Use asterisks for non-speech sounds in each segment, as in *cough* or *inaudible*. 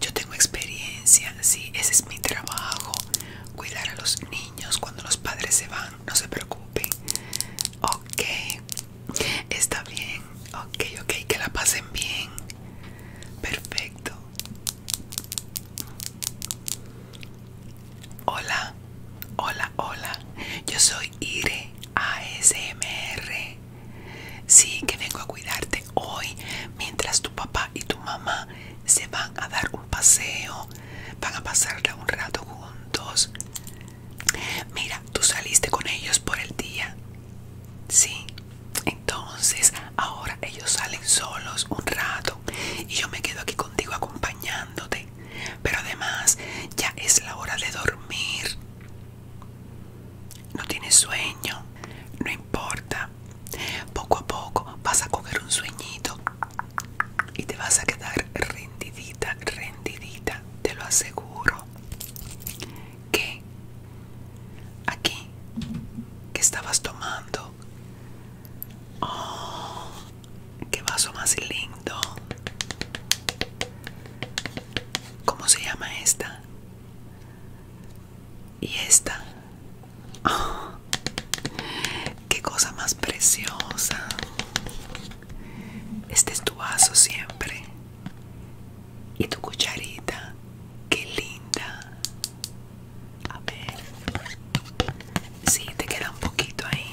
Yo tengo experiencia, sí, ese es mi trabajo, cuidar a los niños cuando los padres se van, no se preocupen. Ok, está bien, ok, ok, que la pasen bien. Perfecto. Hola, hola, hola. Yo soy Ire ASMR. Sí, que vengo a cuidarte hoy mientras tu papá y tu mamá se van a dar un paseo, van a pasarla un rato juntos. Mira, tú saliste con ellos por el día. Sí, entonces ahora ellos salen solos un rato y yo me quedo aquí contigo acompañándote. Pero además ya es la hora de dormir. No tienes sueño, no importa. Poco a poco vas a coger un sueñito y te vas a quedar rendidita, rendidita, te lo aseguro. Que aquí, que estabas tomando, oh, qué vaso más lindo. ¿Cómo se llama esta? y esta ah, qué cosa más preciosa este es tu vaso siempre y tu cucharita qué linda a ver si te queda un poquito ahí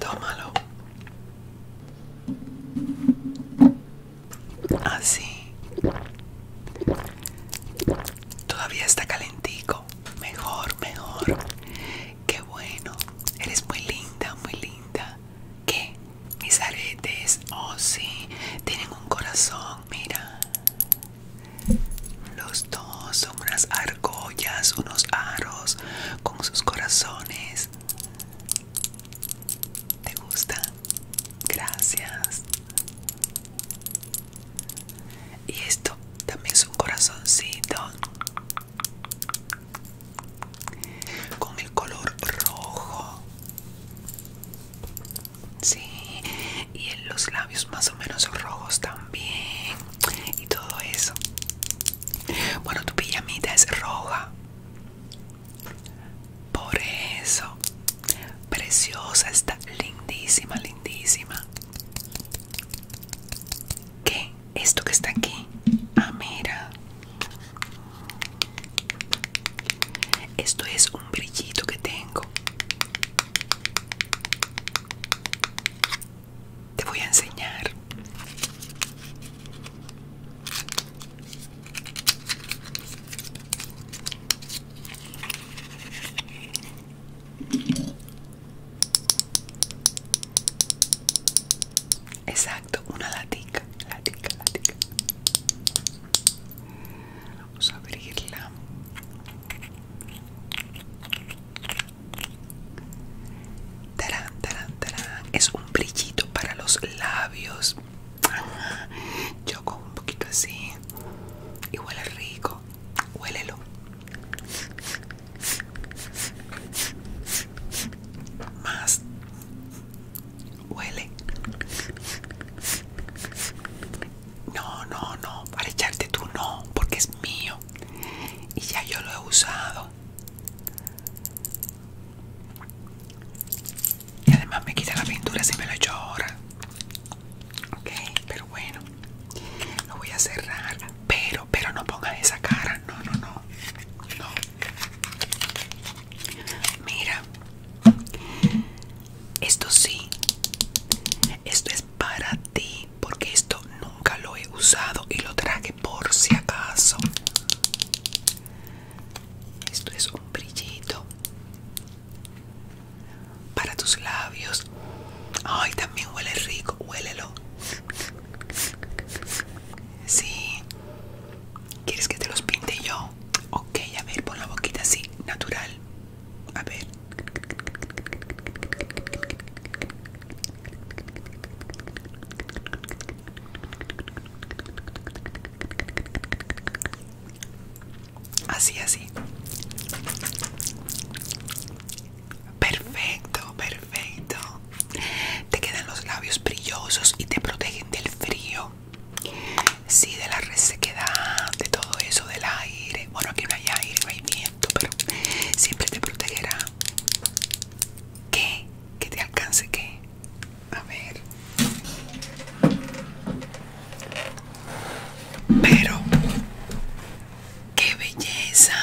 Tómalo. Así. Todavía está calentico. Mejor, mejor. Qué bueno. Eres muy linda, muy linda. ¿Qué? Mis aretes. Oh, sí. Tienen un corazón. Mira. Los dos son unas argollas, unos aros con sus corazones. ¿Te gusta? Gracias. Y esto también es un corazoncito con el color rojo. Sí, y en los labios más o menos rojos también y todo eso. Bueno, tu pijamita es roja. Por eso. Preciosa, está lindísima, lindísima. ¿Qué? ¿Esto que está aquí? Ah, mira. Esto es un brillito que tengo. Te voy a enseñar. Exacto, una latica, latica, latica. Vamos a abrirla. Tarán, tarán, tarán. Es un brillito para los labios. Yo con un poquito así. Y huele rico. Huélelo. Más. Huele. No, no, no, para echarte tú no, porque es mío. Y ya yo lo he usado. Y además me quita la pintura si me lo echo ahora. Ok, pero bueno. Lo voy a cerrar. Pero, pero no pongas esa cara. No, no, no. No. Mira. Esto sí. Esto es para ti porque esto nunca lo he usado y lo traje por si acaso esto es un brillito para tus labios ay también huele rico huélelo si quieres que te los pinte yo ok a ver pon la boquita así natural a ver. Así, así. Perfecto, perfecto. Te quedan los labios brillosos y te protegen del frío. Sí, de la resequedad, de todo eso, del aire. Bueno, aquí no hay aire, no hay viento, pero siempre te protegerá. ¿Qué? ¿Que te alcance que A ver. Pero, qué belleza.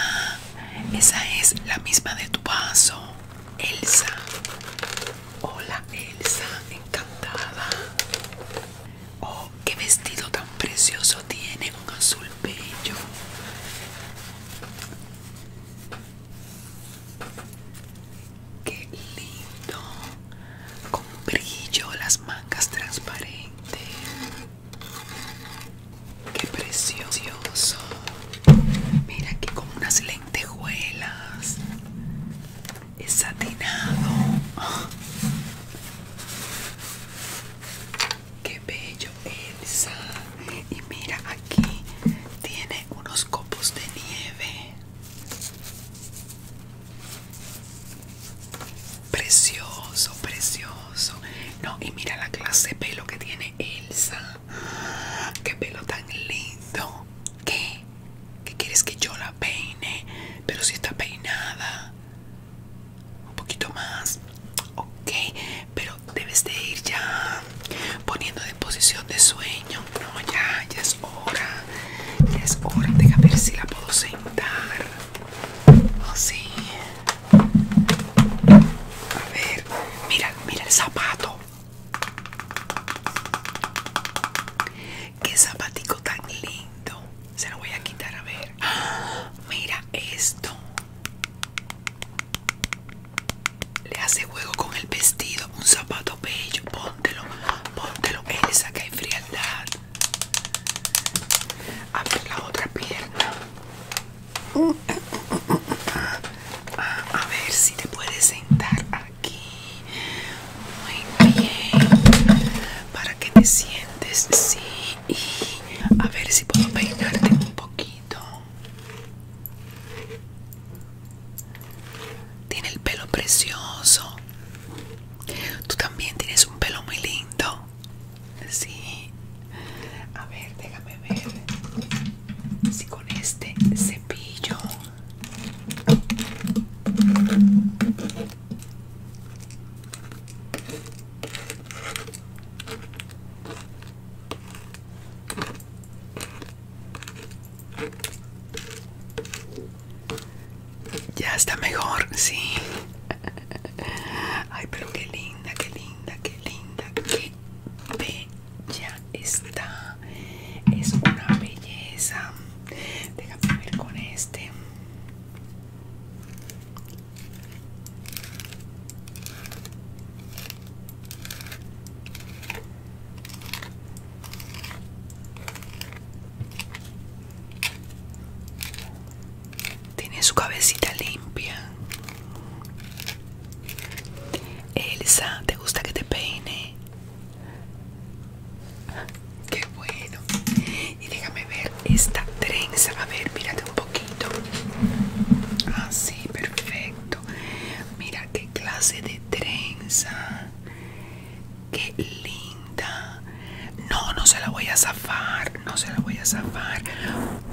Esa es la misma de tu vaso, Elsa. Hola, Elsa, encantada. Oh, qué vestido tan precioso tiene, un azul bello. Qué lindo, con brillo, las mangas transparentes. Qué precioso. Mira aquí con unas lentejuelas es satinado. Qué bello, Elsa. Y mira, aquí tiene unos copos de nieve. Precioso, precioso. No, y mira la clase de pelo que tiene Elsa. Qué pelo tan lindo. Qué ¿Qué quieres que yo la peine? Pero si está peinada. Un poquito más. Ok, pero debes de ir ya poniendo de posición de sueño. No, ya, ya es hora. Ya es hora. Deja ver si la puedo sentar. Oh, sí. A ver, mira, mira el zapato. Qué zapatico tan lindo. Se lo voy a quitar a ver. *gasps* Mira esto. Le hace juego con el vestido. Un zapato bello. Póntelo. Póntelo. esa que hay frialdad. Abre la otra pierna. *laughs* a ver si te puedes sentar aquí muy bien para que te sientes sí y a ver si puedo peinarte un poquito tiene el pelo precioso tú también tienes un pelo muy lindo sí a ver déjame ver si con este cepillo ya está mejor, sí. *laughs* Ay, pero qué linda, qué linda, qué linda, qué ya está es una belleza déjame ver con este tiene su cabecita limpia Elsa, ¿te gusta que te peine? Qué bueno. Y déjame ver esta trenza. A ver, mírate un poquito. Así, ah, perfecto. Mira qué clase de trenza. Qué linda. No, no se la voy a zafar. No se la voy a zafar.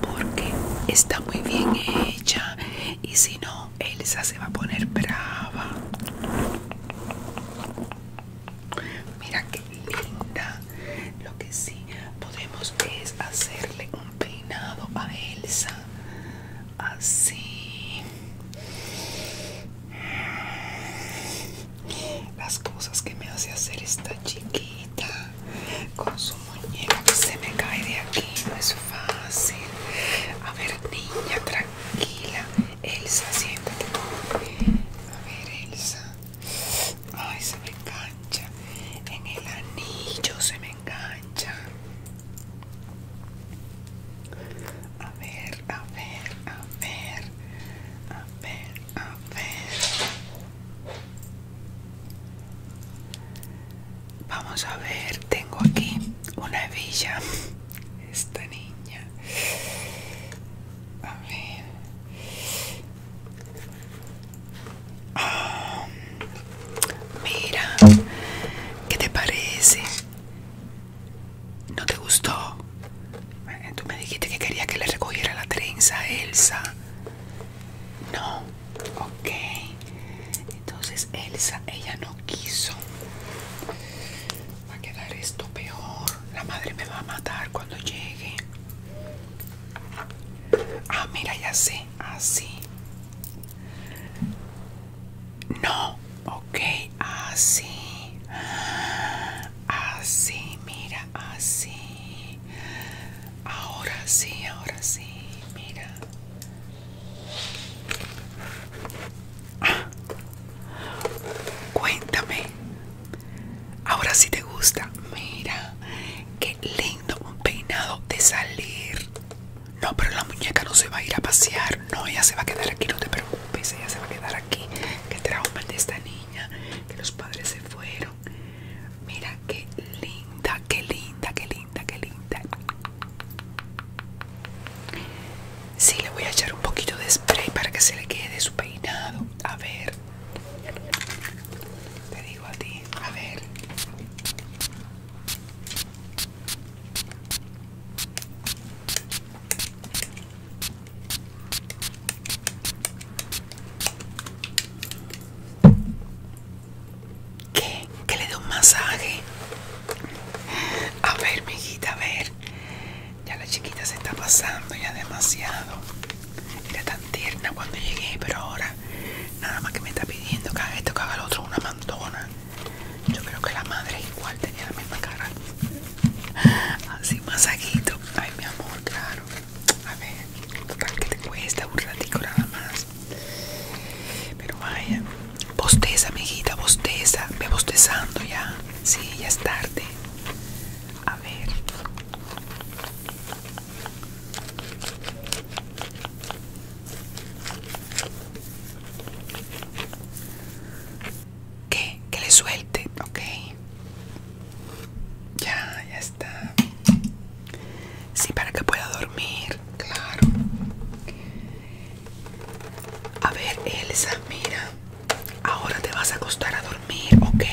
Porque está muy bien hecha. Y si no Elsa se va a poner brava. Mira qué linda. Lo que sí podemos es hacerle un peinado a Elsa. Así. Las cosas que me hace hacer esta chiquita con su muñeca que se me cae de aquí fácil. A ver, niña, tranquila. Elsa, siéntate. A ver, Elsa. Ay, se me engancha. En el anillo se me engancha. A ver, a ver, a ver. A ver, a ver. Vamos a ver, tengo aquí una hebilla. *laughs* Esta niña. A ver. Ah, mira, ¿qué te parece? ¿No te gustó? Eh, tú me dijiste que quería que le recogiera la trenza a Elsa. No, Ok, entonces Elsa, ella no quiso. Va a quedar esto peor. La madre me va a matar cuando llegue. Ah, mira, ya sé. Así. Ah, no, ok, así. Ah, así, ah, mira, así. Ahora sí, ahora sí, mira. Ah. cuéntame. Ahora si te gusta. Mira, qué lindo peinado de salir. No, pero la muñeca no se va a ir a pasear. No, ella se va a quedar aquí, no te preocupes. Ella se va a quedar aquí. Qué trauma de esta niña. Que los padres se fueron. Mira, qué linda, qué linda, qué linda, qué linda. Sí, le voy a echar un poquito de spray para que se le quede su peinado. A ver. Te digo a ti, a ver. ¿Qué? ¿Que le dé un masaje? A ver, mi hijita, a ver. Ya la chiquita se está pasando ya demasiado. Era tan tierna cuando llegué, pero ahora nada más que me está pidiendo que haga esto, que haga otro, una mantona Yo creo que la madre igual tenía la misma cara. Así, masajito. Ay, mi amor, claro. A ver, ¿qué te cuesta? Un ratico nada más. Pues, pero vaya, bosteza, mijita, bosteza. me bostezando ya. Sí, ya es tarde. A ver. Que le suelte, ok. Ya, ya está. Sí, para que pueda dormir, claro. A ver, Elsa, mira. Ahora te vas a acostar a dormir, ¿ok?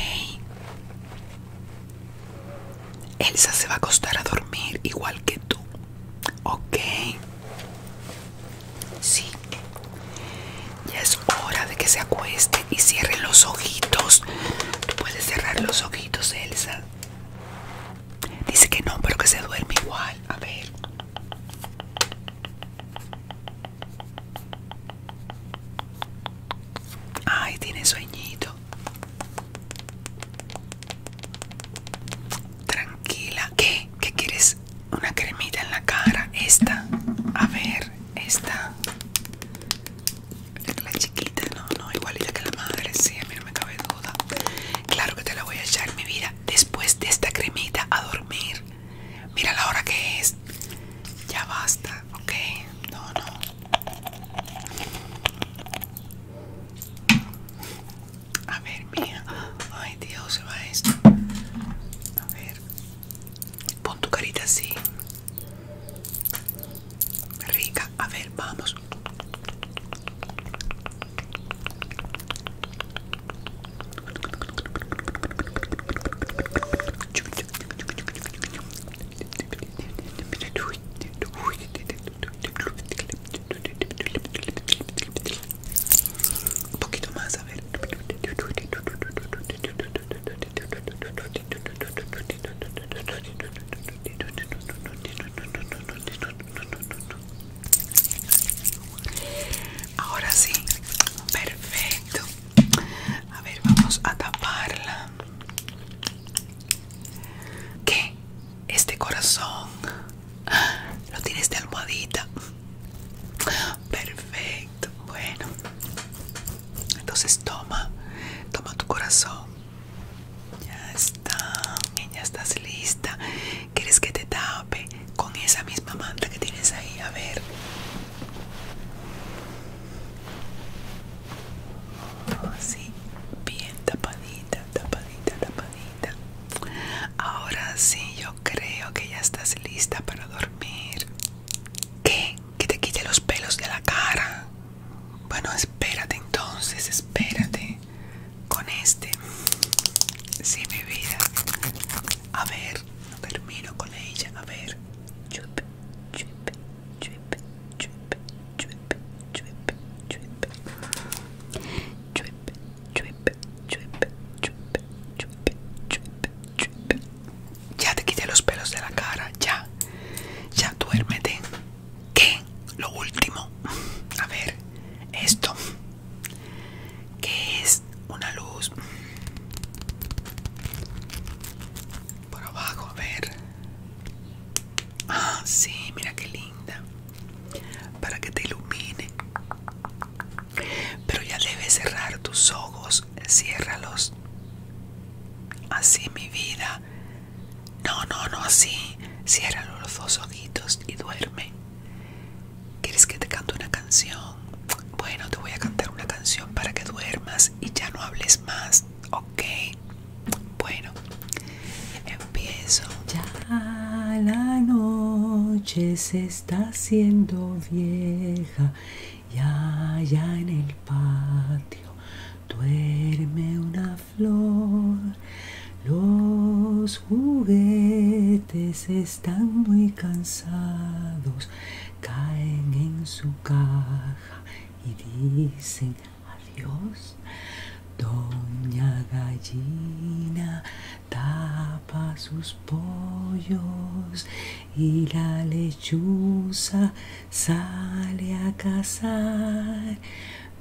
Elsa se va a acostar a dormir igual que tú, ¿ok? Sí. Ya es hora de que se acueste y cierre los ojitos. Tú puedes cerrar los ojitos, Elsa. Dice que no, pero que se duerme igual. A ver. Ay, tiene sueñito. Tranquila. ¿Qué? ¿Qué quieres? Una cremita en la cara. Esta. A ver, esta la chiquita, no, no, igualita que la madre, sí, a mí no me cabe duda. Claro que te la voy a echar, mi vida, después de esta cremita a dormir. Mira la hora que es. Ya basta, ok. No, no. A ver, mía. Ay, Dios, se va esto. A ver. Pon tu carita así. Rica, a ver, vamos. Un poquito más, a ver. Ahora sí, perfecto. A ver, vamos a taparla. ¿Qué? Este corazón lo tienes de este almohadita. Perfecto. Bueno, entonces toma, toma tu corazón. Ya está, ya estás lista. ¿Quieres que te tape con esa misma manta que tienes ahí? A ver. Así, bien tapadita, tapadita, tapadita. Ahora sí, yo creo que ya estás lista para dormir. ¿Qué? ¿Que te quite los pelos de la cara? Bueno, espérate entonces, espérate con este. Sí, mi vida. A ver, no termino con ella. A ver. Ya te quité los pelos de la cara, ya. Ya duérmete. Que Lo último. A ver, esto. que es? Una luz. Por abajo, a ver. Ah, sí, mira qué linda. Para que te ilumine. Pero ya debes cerrar tus ojos ciérralos. Así mi vida. No, no, no, así. Cierra los dos ojitos y duerme. ¿Quieres que te cante una canción? Bueno, te voy a cantar una canción para que duermas y ya no hables más. ¿Ok? Bueno, empiezo. Ya la noche se está haciendo vieja ya, allá en el patio duerme una flor. Los juguetes están muy cansados, caen en su caja y dicen adiós. Doña Gallina tapa sus pollos y la lechuza sale a cazar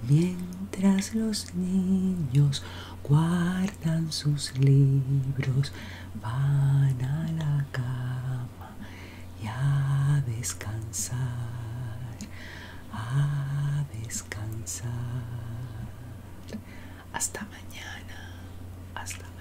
mientras los niños guardan sus libros van a la cama y a descansar a descansar hasta mañana. Hasta mañana.